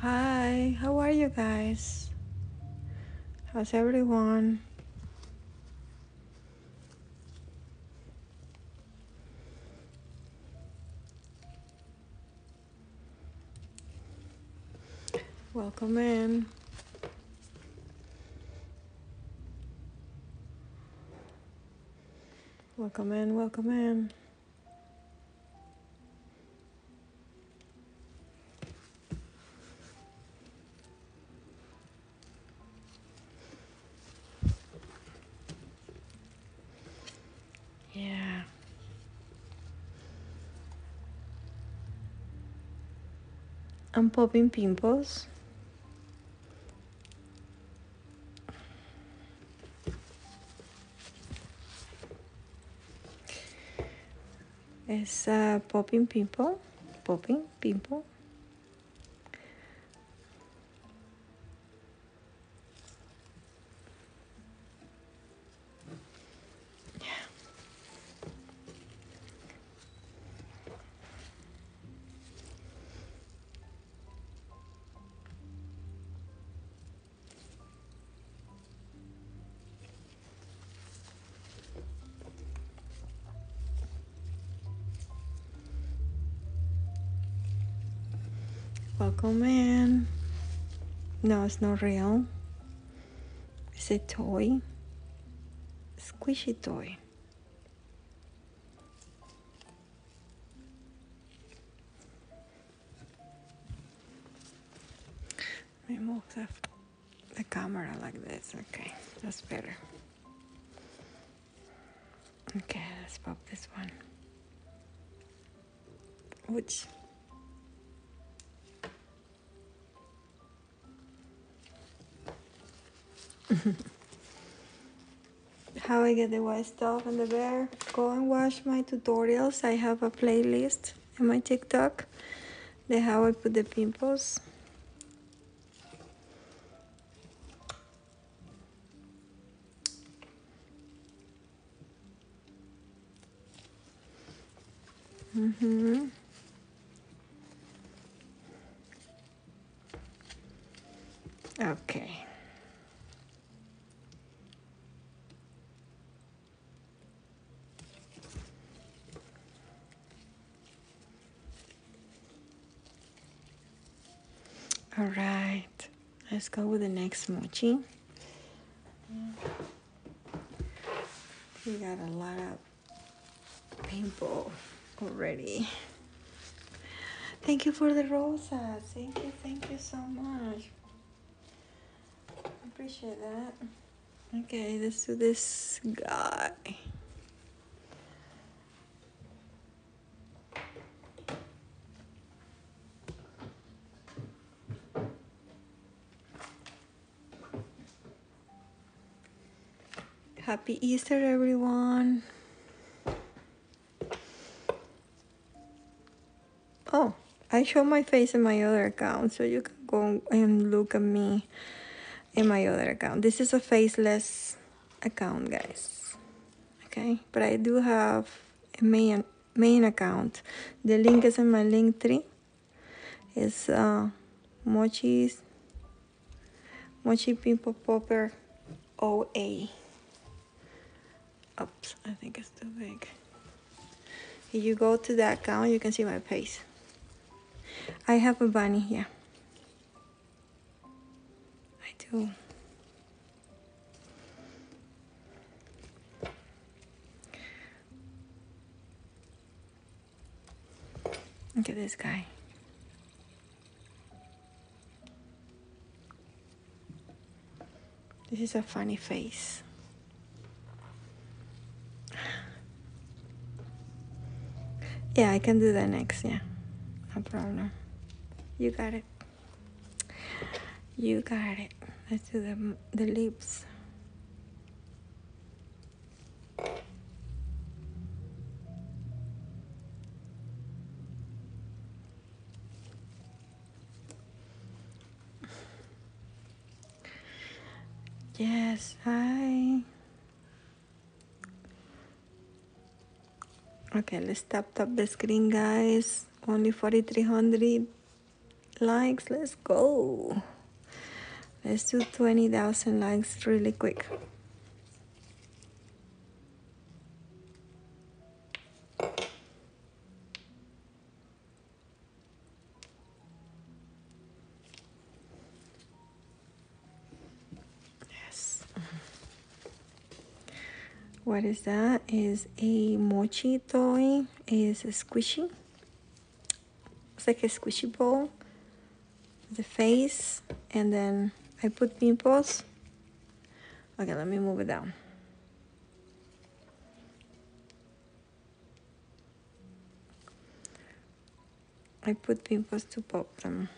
Hi, how are you guys? How's everyone? Welcome in. Welcome in, welcome in. Yeah. I'm popping pimples. It's a popping pimples? popping pimples. Yeah. Welcome in. No, it's not real. It's a toy, squishy toy. Remove the, the camera like this. Okay, that's better. Okay, let's pop this one. Which How I get the white stuff and the bear. Go and watch my tutorials. I have a playlist in my TikTok. The how I put the pimples. Mm-hmm. Okay. All right, let's go with the next mochi. We got a lot of people already. Thank you for the rosas. Thank you, thank you so much. Appreciate that. Okay, this us this guy. Happy Easter, everyone. Oh, I show my face in my other account, so you can go and look at me in my other account. This is a faceless account, guys. Okay, but I do have a main main account. The link is in my link tree. It's uh, Mochi's Mochi Pimple Popper OA. Oops, I think it's too big. If you go to that account, you can see my face. I have a bunny here. I do. Look at this guy. This is a funny face. Yeah, I can do that next, yeah. No problem. You got it. You got it. Let's do the, the lips. Yes, Hi. Okay, let's tap tap the screen, guys. Only 4300 likes let's go let's do 20,000 likes really quick yes what is that is a mochi toy is a squishy it's like a squishy ball the face and then I put pimples okay let me move it down I put pimples to pop them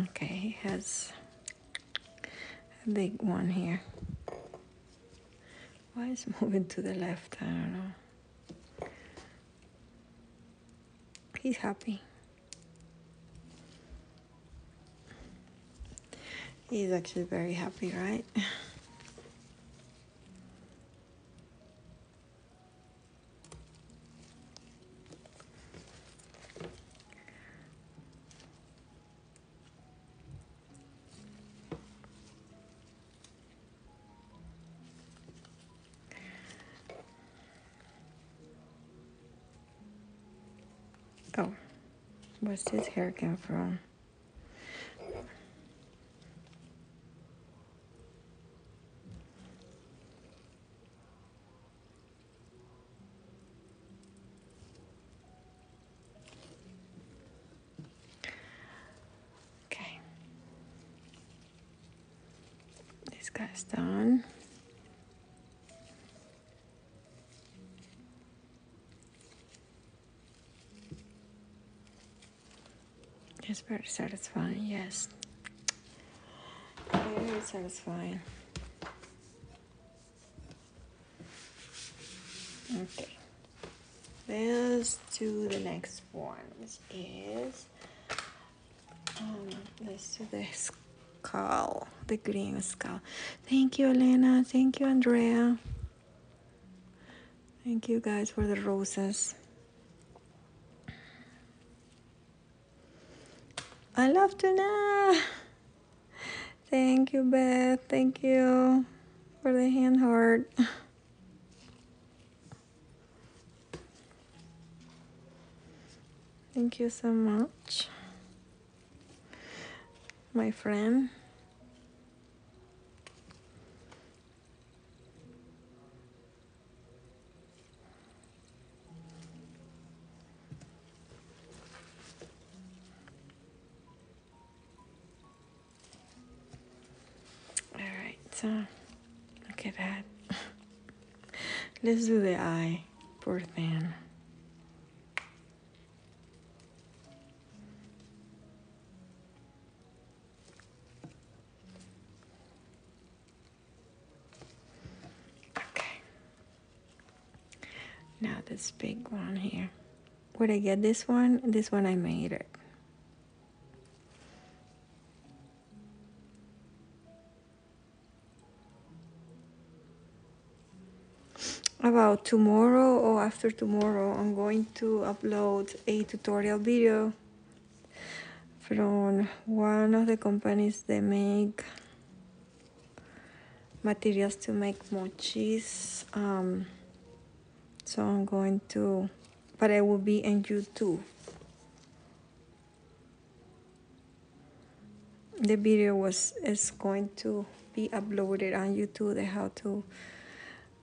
Okay, he has a big one here. Why is moving to the left? I don't know. He's happy. He's actually very happy, right? Oh, where's his hair came from? Okay. This guy's done. It's very satisfying, yes. Very satisfying. Okay. Let's do the next ones. is um, let's do the skull, the green skull. Thank you, Elena. Thank you, Andrea. Thank you guys for the roses. I love tuna. Thank you, Beth. Thank you for the hand heart. Thank you so much, my friend. All right, so look at that. Let's do the eye. Poor thing. Okay. Now this big one here. Where I get this one? This one I made it. about tomorrow or after tomorrow I'm going to upload a tutorial video from one of the companies they make materials to make mochis um, so I'm going to but I will be on YouTube the video was is going to be uploaded on YouTube how to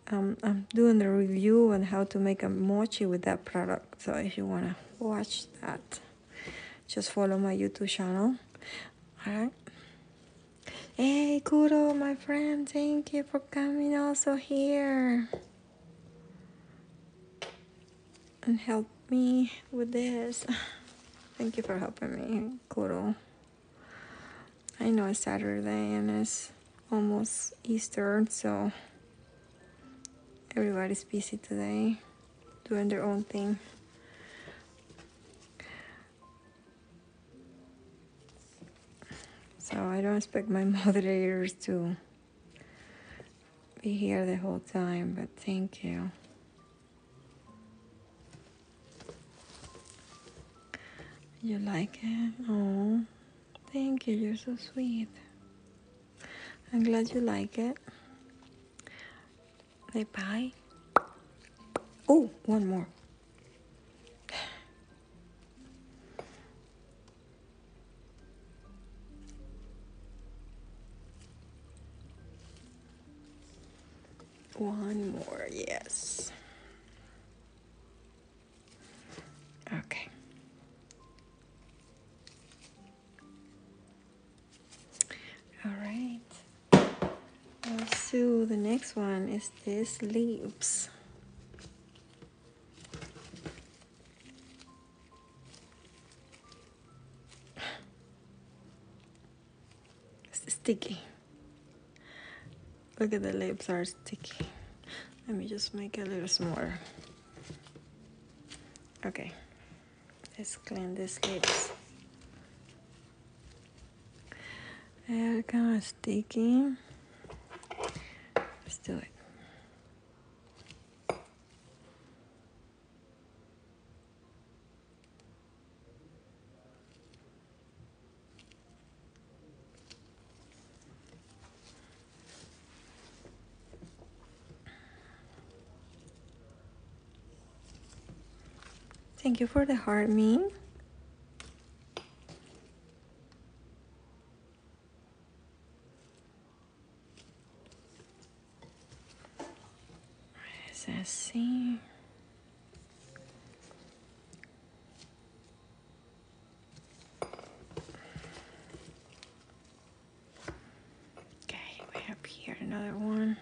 um, I'm doing the review on how to make a mochi with that product so if you want to watch that just follow my youtube channel all right hey kudo my friend thank you for coming also here and help me with this thank you for helping me kudo i know it's saturday and it's almost easter so everybody's busy today doing their own thing. So I don't expect my moderators to be here the whole time, but thank you. You like it? Oh, thank you. You're so sweet. I'm glad you like it. Bye bye. Oh, one more. One more, yes. Okay. All right. So the next one is this lips. sticky. Look at the lips are sticky. Let me just make a little smaller. Okay. Let's clean this. sleeves. They're kind of sticky. Let's do it. Thank you for the heart, Ming. Es assim. Okay, we have here another one.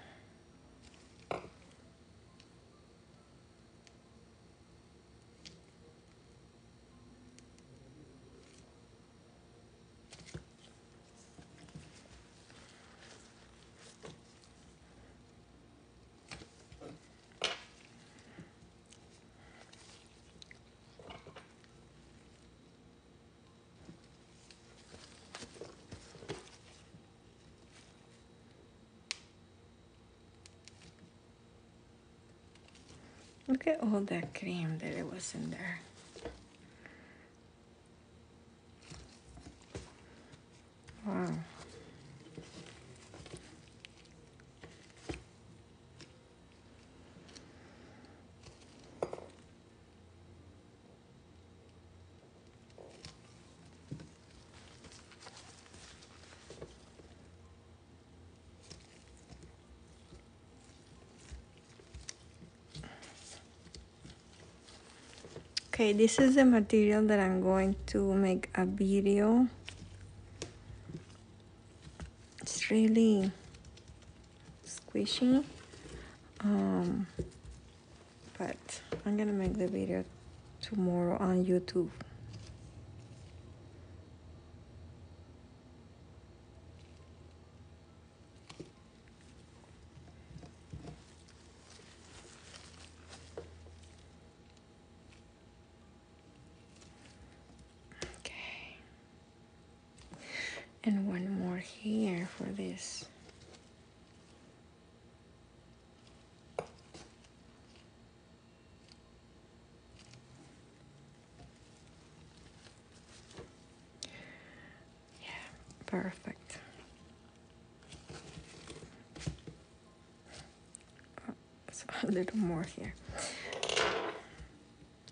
Look at all that cream that it was in there. Wow okay this is the material that i'm going to make a video it's really squishy um, but I'm gonna make the video tomorrow on YouTube Okay and one more here for this yeah perfect oh, so a little more here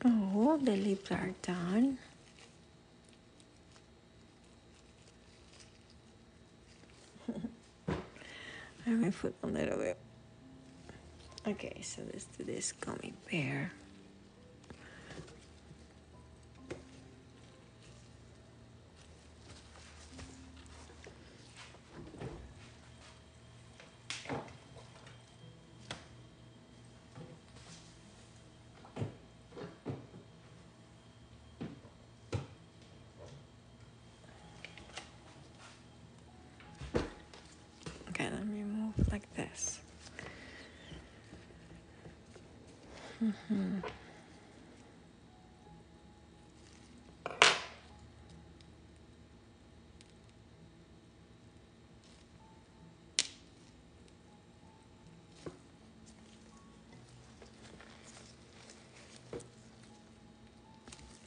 Oh, the lips are done. Let me put a little bit. Okay, so let's do this gummy bear. Okay, let me move like this. Mm-hmm.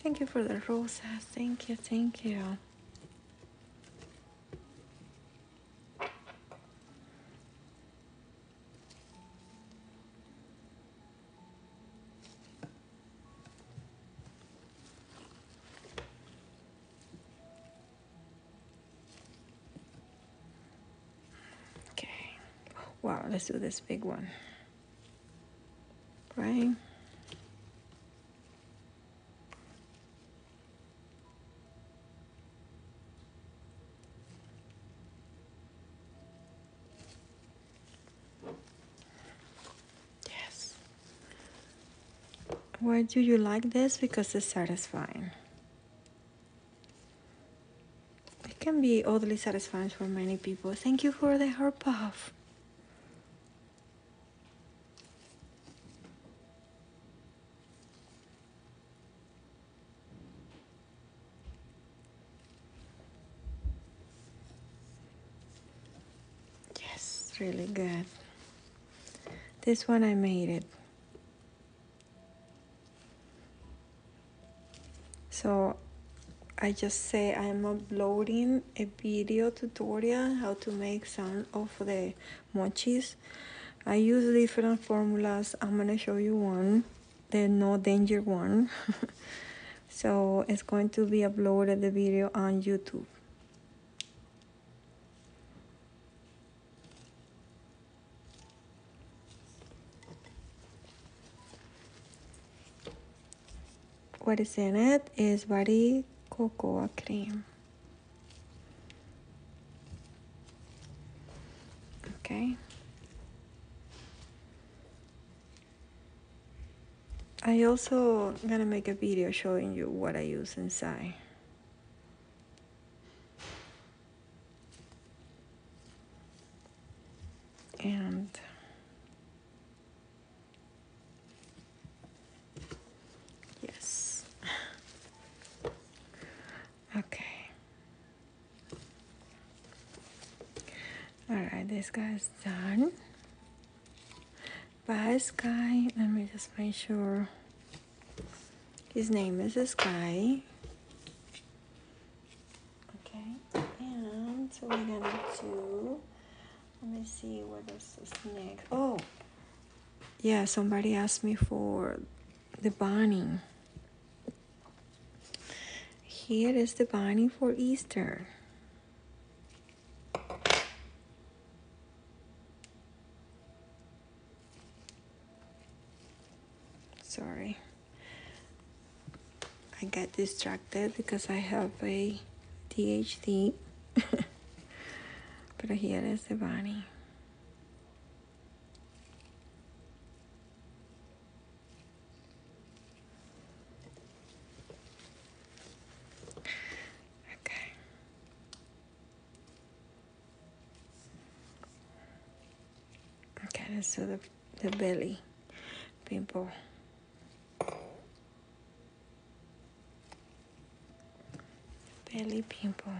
Thank you for the roses. Thank you, thank you. Okay. Wow, let's do this big one. Right? Yes. Why do you like this? Because it's satisfying. It can be oddly satisfying for many people. Thank you for the heart puff. Yes, really good. This one I made it. So I just say I'm uploading a video tutorial how to make some of the mochis. I use different formulas. I'm gonna show you one, the no danger one. so it's going to be uploaded the video on YouTube. What is in it is body cocoa cream. Okay. I also gonna make a video showing you what I use inside and yes okay all right this guy's done by Sky. Let me just make sure. His name is Sky. Okay, and so we're gonna do. Let me see what is this next. Oh, yeah. Somebody asked me for the bunny. Here is the bunny for Easter. Sorry. I get distracted because I have a but I hear the bunny. Okay. Okay, so the, the belly people. Belly people.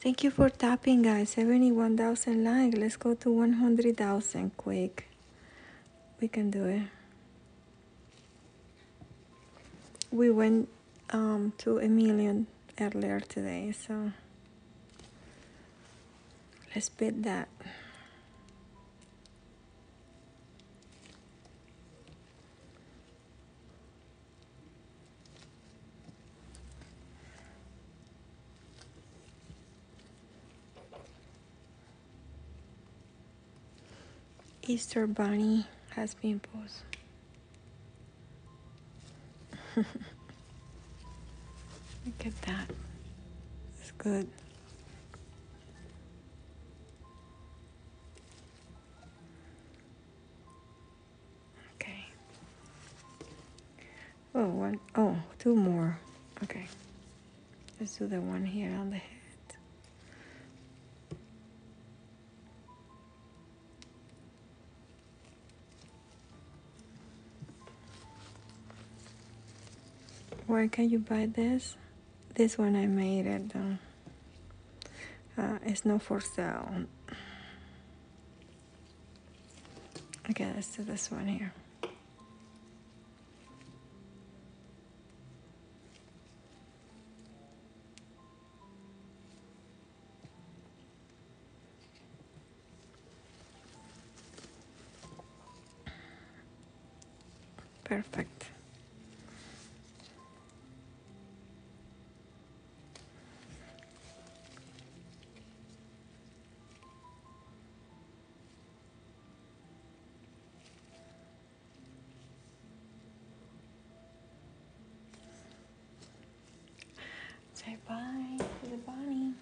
Thank you for tapping, guys. 71,000 like. Let's go to 100,000 quick. We can do it. We went um, to a million earlier today, so let's beat that. Easter Bunny has pimples. Look at that. It's good. Okay. Oh, one, oh, two more. Okay. Let's do the one here on the head. Where can you buy this? This one I made it though. Uh, it's no for sale. Okay, let's do this one here. Perfect. Say bye to the bunny.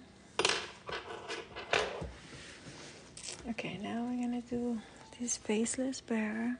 Okay, now we're gonna do this faceless bear.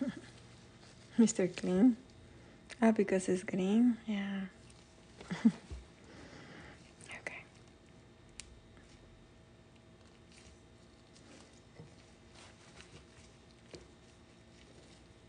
Mr. Clean. Ah, because it's green? Yeah. okay.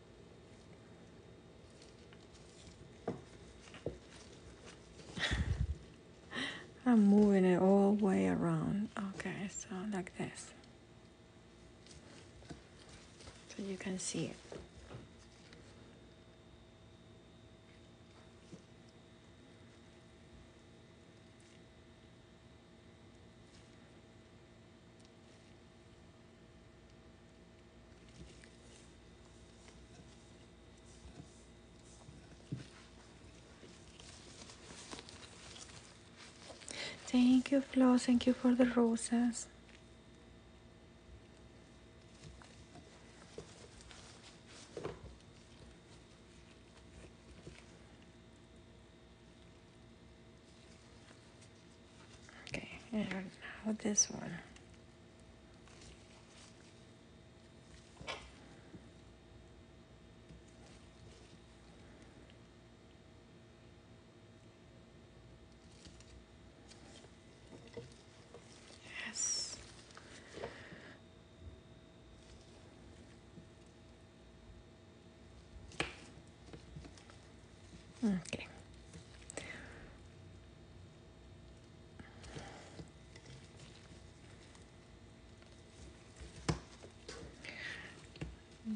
I'm moving it all way around. Okay, so like this. So you can see it. Thank you, Flo. Thank you for the roses. Okay, How about this one. Okay.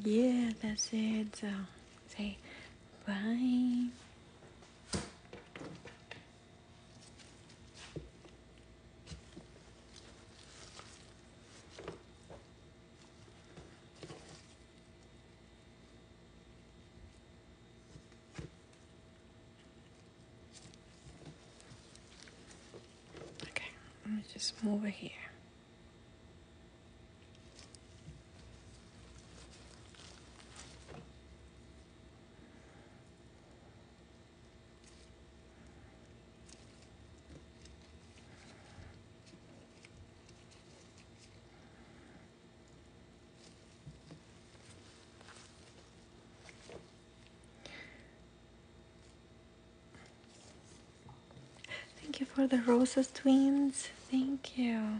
Yeah, that's it. So say bye. Okay, let me just move over here. Thank you for the roses twins. Thank you.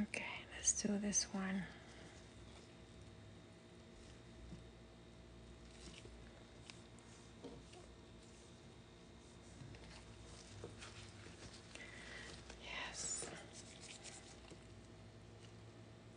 Okay, let's do this one. Yes.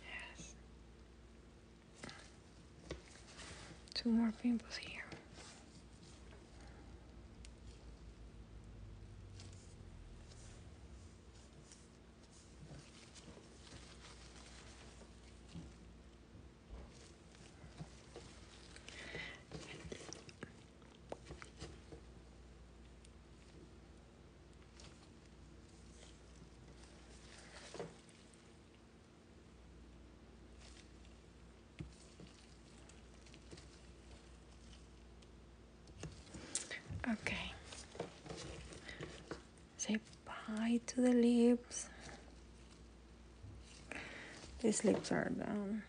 Yes. Two more pimples here. Okay. Say bye to the lips. These lips are down.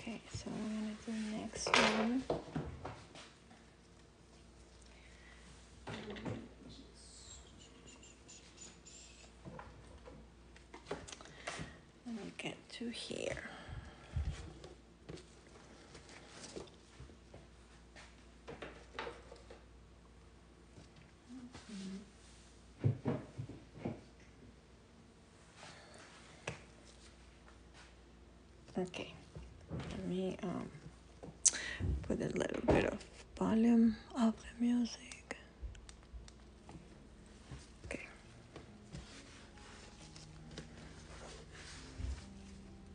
Okay, so I'm gonna do the next one. Let me get to here. Okay, let me um, put a little bit of volume of the music. Okay.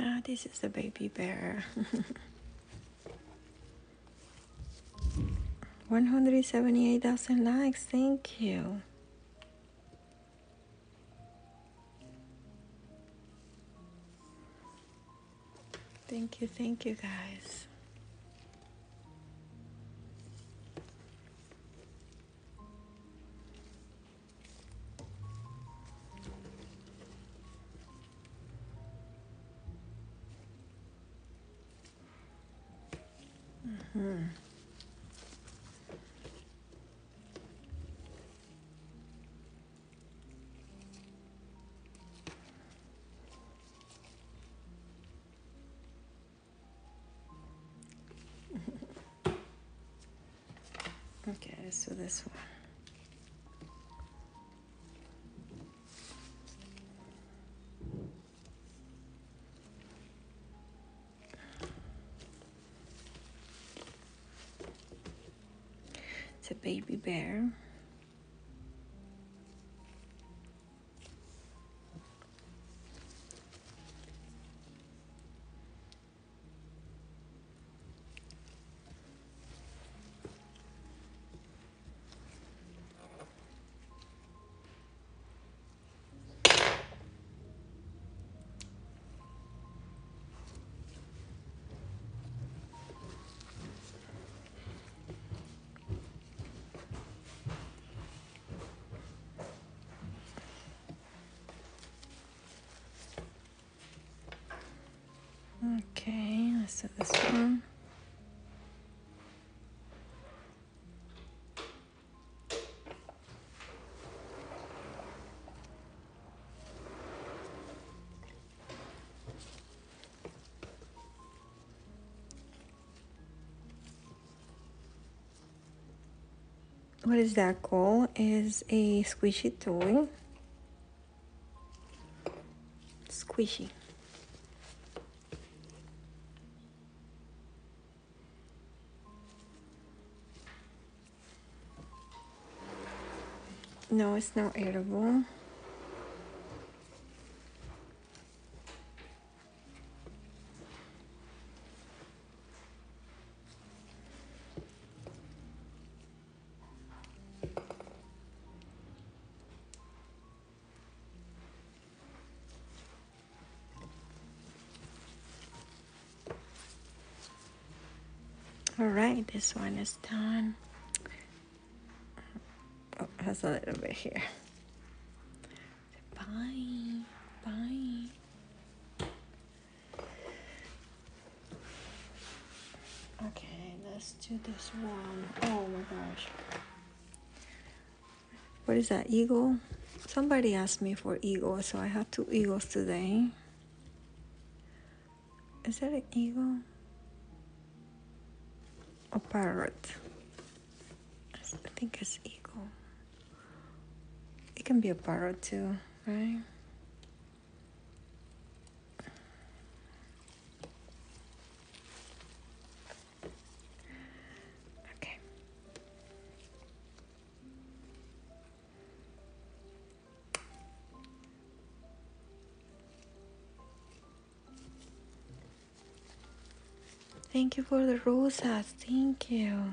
Ah, this is a baby bear. 178,000 likes, thank you. Thank you, thank you guys. Mm-hmm. okay, so this one. It's a baby bear. Okay, let's do this one. What is that called? Is a squishy toy. Squishy. No, it's not edible. All right, this one is done. Oh, has a little bit here. Bye, bye. Okay, let's do this one. Oh my gosh what is that eagle somebody asked me for eagle so i have two eagles today is that an eagle or parrot i think it's eagle it can be a parrot too right Okay. Thank you for the rosas. Thank you.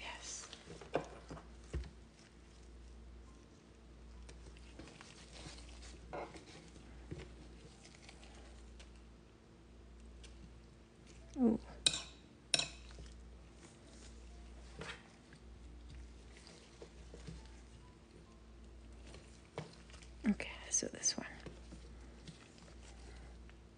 Yes. Ooh. Okay, so this one.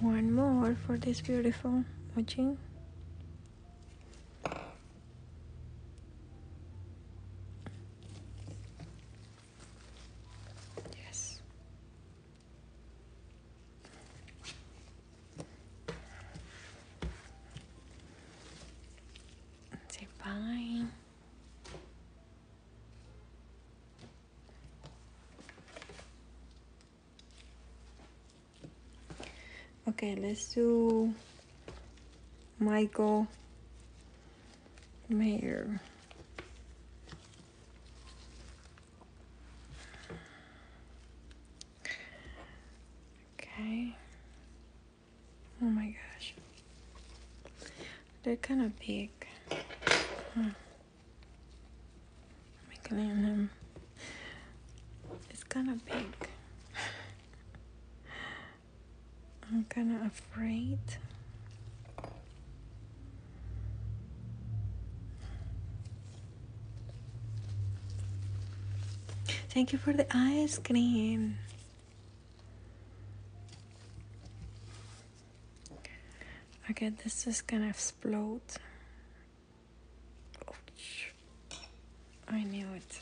One more for this beautiful mojin. Yes say bye. Okay, let's do Michael Mayer. Okay. Oh my gosh. They're kind of big. I'm clean them. It's kind of big. I'm kind of afraid. Thank you for the ice cream. Okay, this is gonna explode. Oh, I knew it.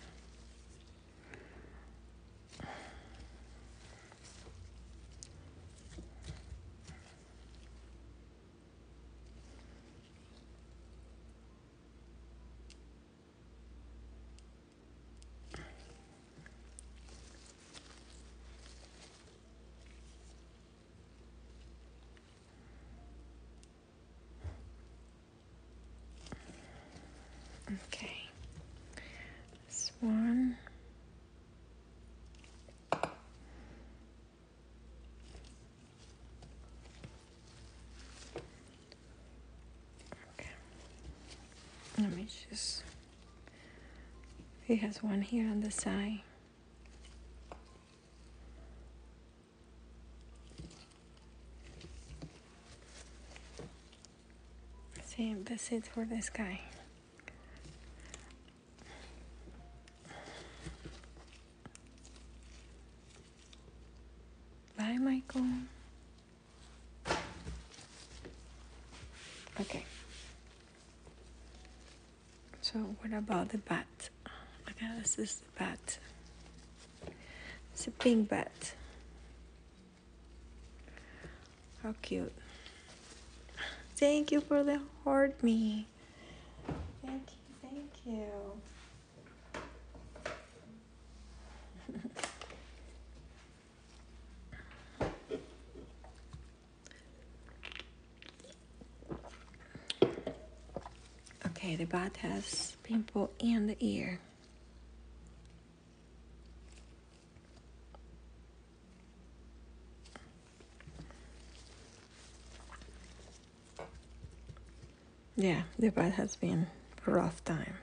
Okay, this one. Let me just. He has one here on the side. Same, that's it for this guy. Bye, Michael. Okay. So what about the bat? Okay, this is the bat. It's a pink bat. How cute. Thank you for the hard me. Thank you, thank you. okay, the bat has pimple in the ear yeah, the past has been rough time.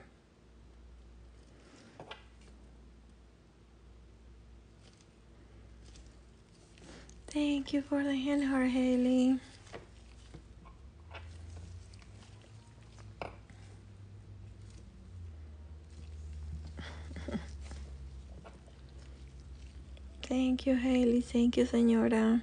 Thank you for the hand heart, Hayley. Thank you, Hayley. Thank you, señora.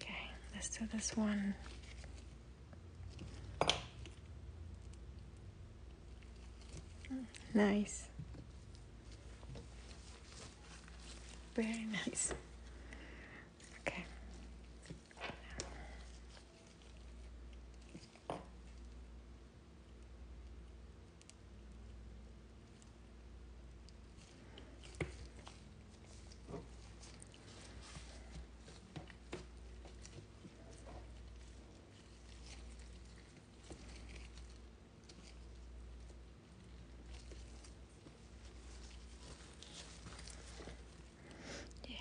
Okay, let's do this one. Hmm, nice. Very nice. Okay. Yeah.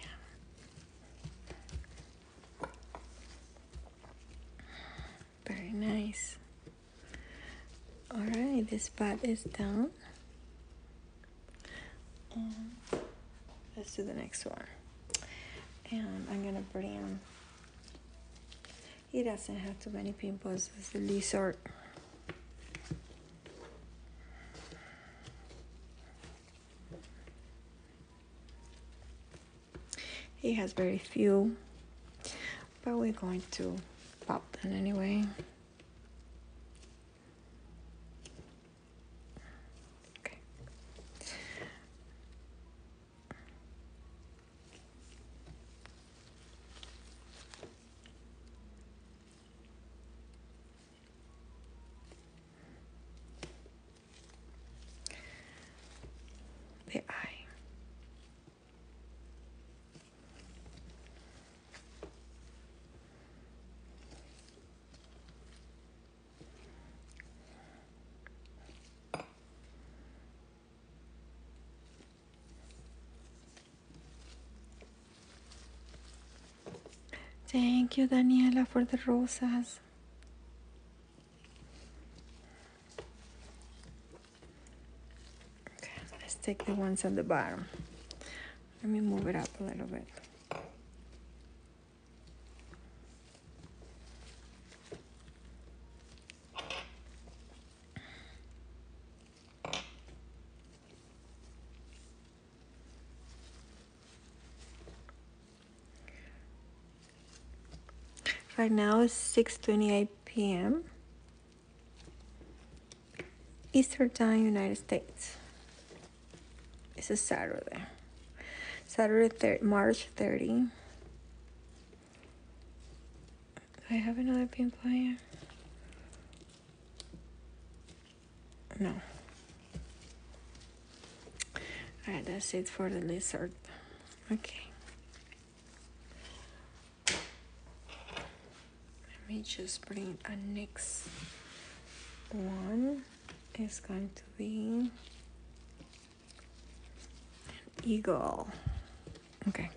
Very nice. All right, this part is done let's do the next one. And I'm gonna bring. He doesn't have too many pimples as the lizard. He has very few, but we're going to pop them anyway. Okay. The eye. Thank you, Daniela, for the rosas. let's take the ones at the bottom. Let me move it up a little bit. Right now it's 6.28 p.m. Easter time, United States. It's a Saturday. Saturday, thir March 30. I have another pin player? No. Alright, that's it for the lizard. Okay let me just bring a next one It's going to be an eagle okay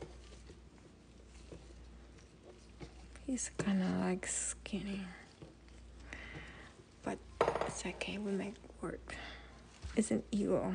he's kind of like skinny but it's okay we make work it's an eagle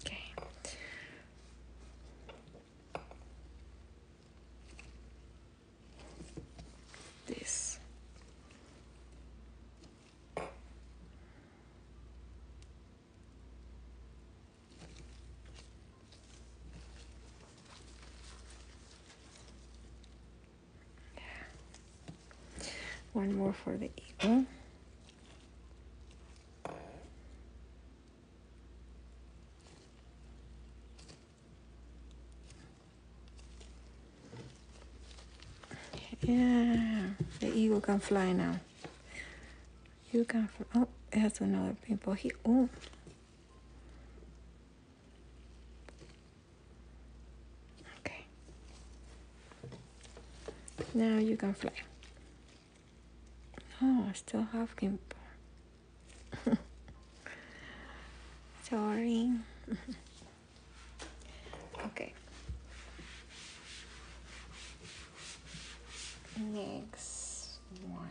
Okay. This one more for the eagle. Yeah, the eagle can fly now. You can fly. Oh, it has another people. He, oh. Okay. Now you can fly. Oh, I still have gimbal. Sorry. okay next one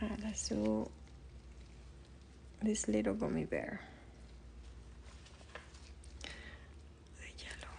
uh, ah, let this little gummy bear the yellow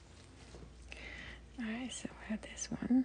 Alright, so we have this one.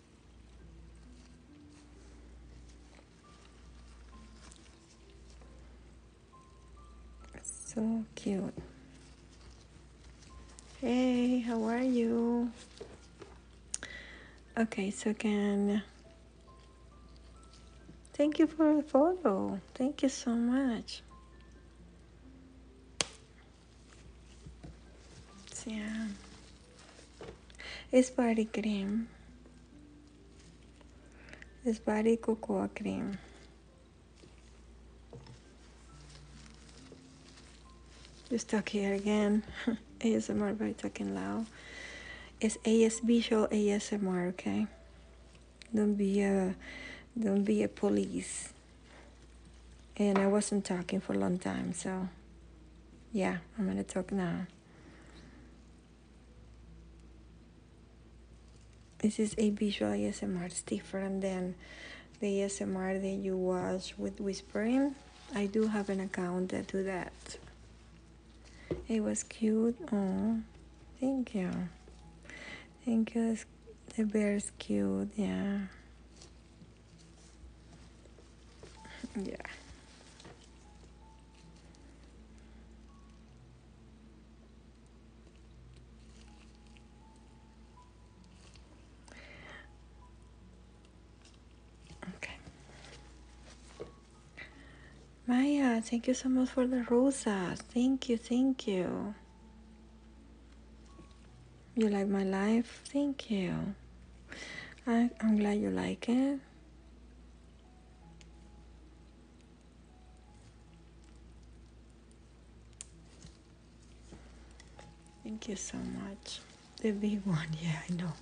So cute. Hey, how are you? Okay, so can. thank you for the photo. Thank you so much. So, yeah. It's body cream It's body cocoa cream You're talking again ASMR by talking loud it's AS visual ASMR okay don't be a don't be a police and I wasn't talking for a long time so yeah, I'm going to talk now. This is a visual ASMR. It's different than the ASMR that you watch with whispering. I do have an account to that. It was cute. Oh, thank you. Thank you. The bear's cute. Yeah. Yeah. Okay. Maya, thank you so much for the rosas. Thank you, thank you. You like my life? Thank you. I, I'm glad you like it. Thank you so much. The big one, yeah, I know.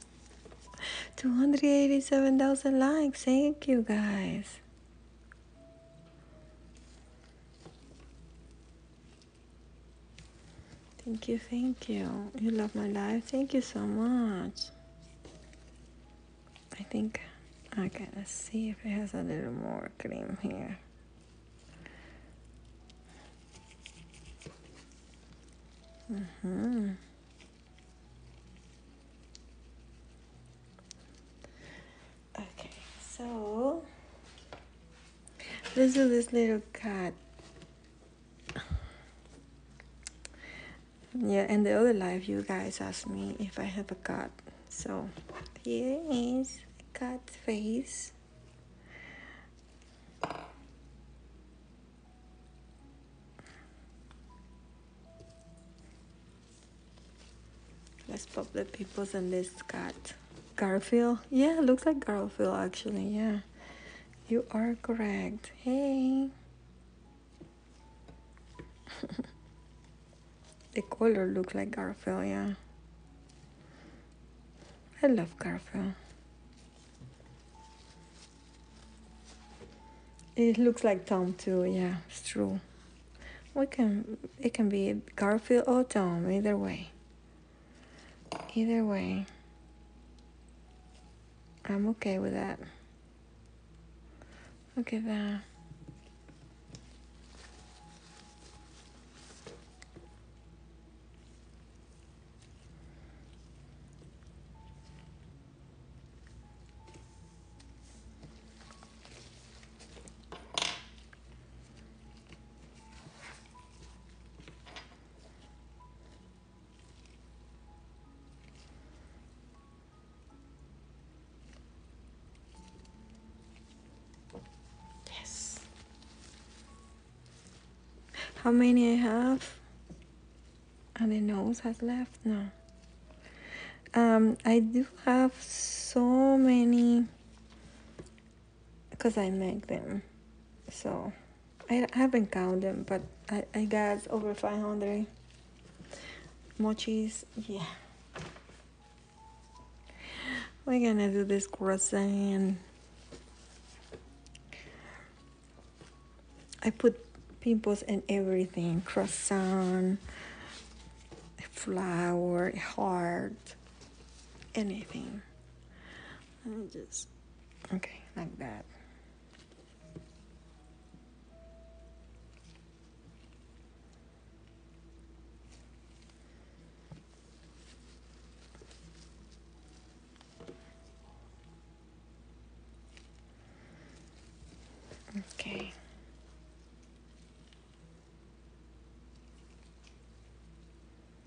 287,000 likes. Thank you guys. Thank you, thank you. You love my life. Thank you so much. I think I gotta see if it has a little more cream here. Mm-hmm. Okay, so let's do this little cut yeah and the other life you guys asked me if i have a cat so here is a cat face let's pop the peoples in this cat garfield yeah looks like garfield actually yeah you are correct. Hey. the color looks like Garfield, yeah. I love Garfield. It looks like Tom too, yeah, it's true. We can it can be Garfield or Tom, either way. Either way, I'm okay with that. Look at that. Yes. How many I have? And the nose has left? now. Um, I do have so many because I make them. So I haven't counted them, but I, I guess over 500 mochis. Yeah. We're gonna do this croissant. I put pimples and everything croissant, flower, heart, anything. And just, okay, like that. Okay.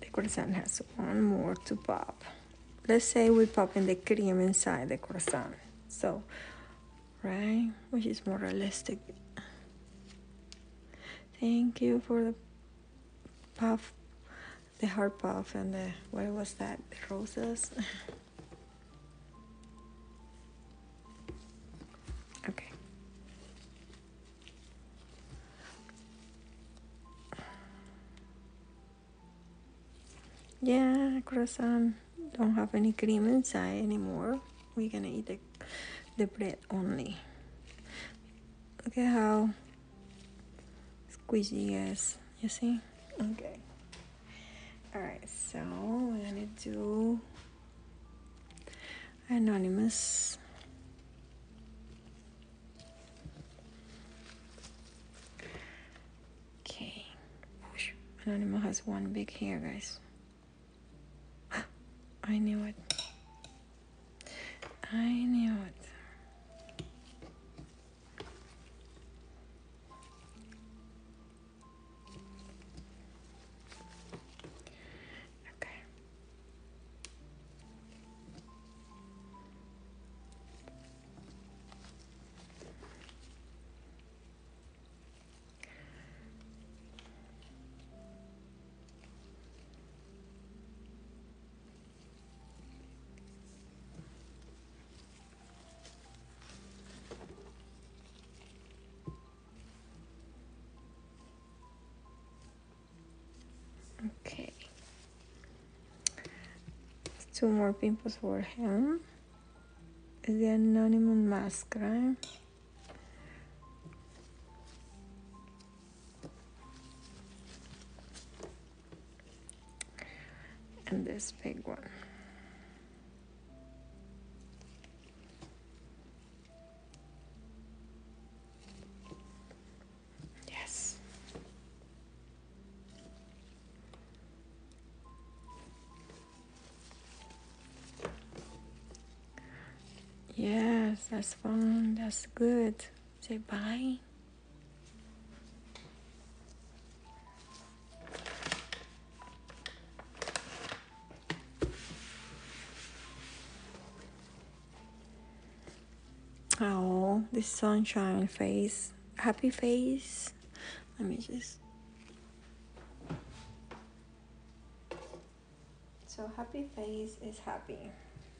the croissant has one more to pop. Let's say we pop in the cream inside the croissant. So, right, which is more realistic. Thank you for the puff the heart puff and the what was that the roses okay yeah croissant don't have any cream inside anymore we're gonna eat the, the bread only look at how squeegee yes, you see? Okay. Alright, so we're gonna do anonymous. Okay. Anonymous has one big hair, guys. I knew it. I knew it. Okay. Okay. Two more pimples for him. The anonymous mask, right? and this big one. Yes. Yes, that's fun. That's good. Say bye. Oh, the sunshine face, happy face. Let me just. So, happy face is happy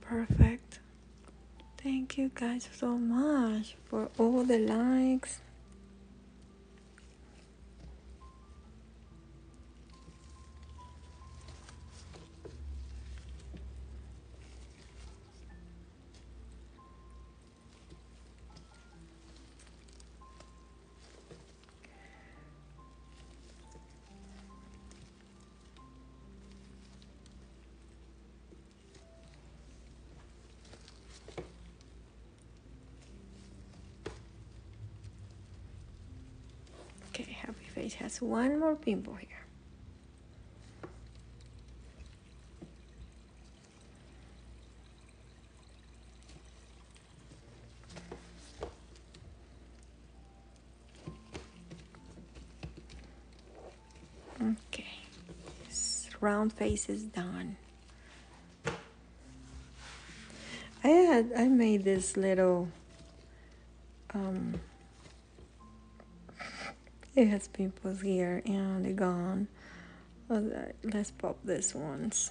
Perfect. Thank you guys so much for all the likes. Okay, happy face has one more pimple here. Okay, this round face is done. I had I made this little um, it has pimples here and gone. Uh, let's pop this once.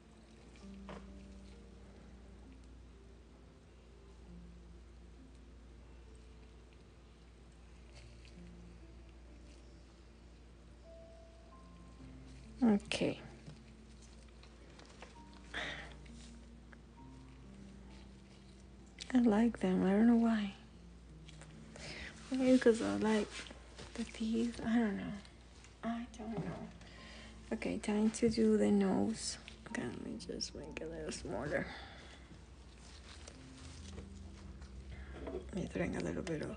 Okay. I like them. I don't know why. Maybe because I like the teeth. I don't know. I don't know. Okay, time to do the nose. Okay, let me just make it a little smaller. Let me drink a little bit of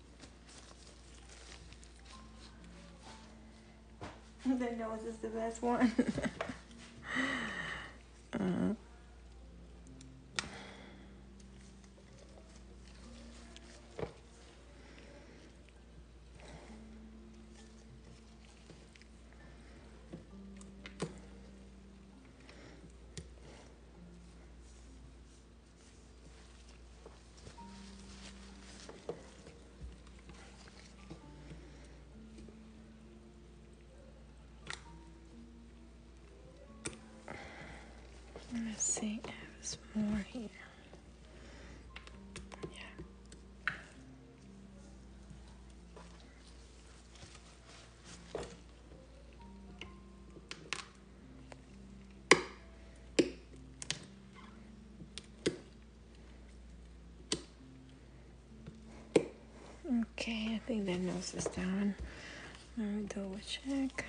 the nose is the best one. uh, Let's see, there's more here. Yeah. Okay, I think that nose is down. Let me double check.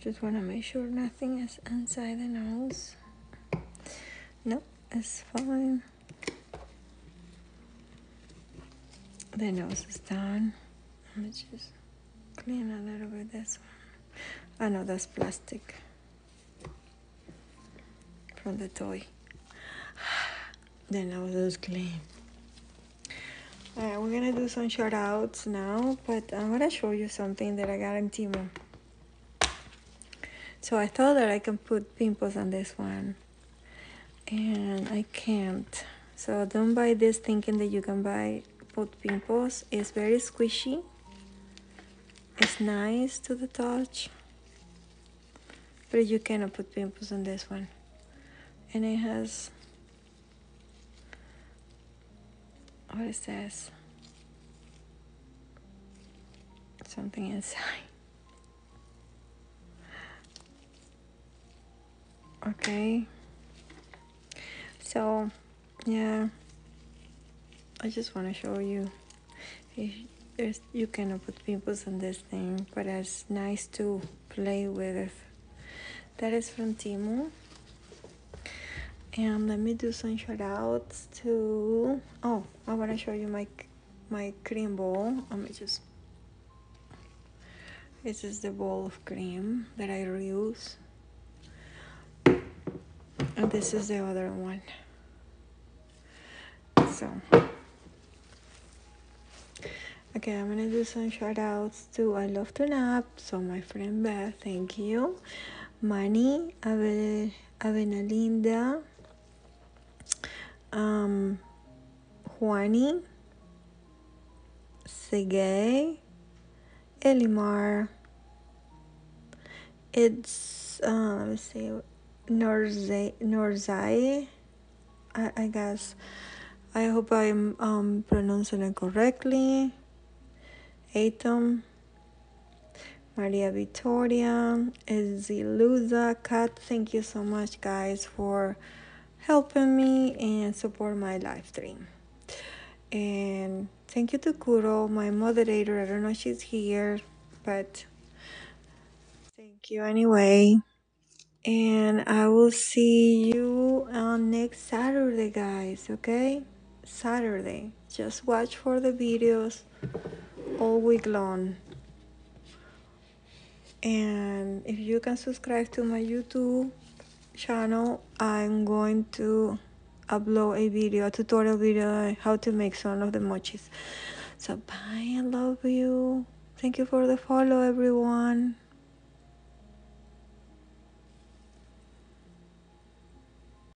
Just want to make sure nothing is inside the nose. Nope, is fine. Their nose is done. Let me just clean a little bit this one. I ah, know that's plastic from the toy. Then I nose just clean. Alright, we're gonna do some shoutouts now, but I'm gonna show you something that I got in Timo. So I thought that I can put pimples on this one and I can't. So don't buy this thinking that you can buy put pimples. It's very squishy. It's nice to the touch. But you cannot put pimples on this one. And it has what is this? Something inside. Okay. So, yeah. I just want to show you. you cannot put pimples on this thing, but it's nice to play with. That is from Timu. And let me do some shoutouts let oh i want to show you my my cream bowl let me just this is the bowl of cream that i reuse and this is the other one so okay i'm gonna do some shout outs to i love to nap so my friend beth thank you Manny will. Avena Linda, um, Juani, Segay, Elimar. It's, uh, let me see, Norzai, Norzai I, I guess. I hope I'm um, pronouncing it correctly. Atom. Maria Victoria, Ezilusa, Kat, thank you so much guys for helping me and support my live stream. And thank you to Kuro, my moderator. I don't know she's here, but thank you anyway. And I will see you on next Saturday, guys, okay? Saturday. Just watch for the videos all week long. And if you can subscribe to my YouTube channel, I'm going to upload a video, a tutorial video how to make some of the mochis. So bye, I love you. Thank you for the follow, everyone.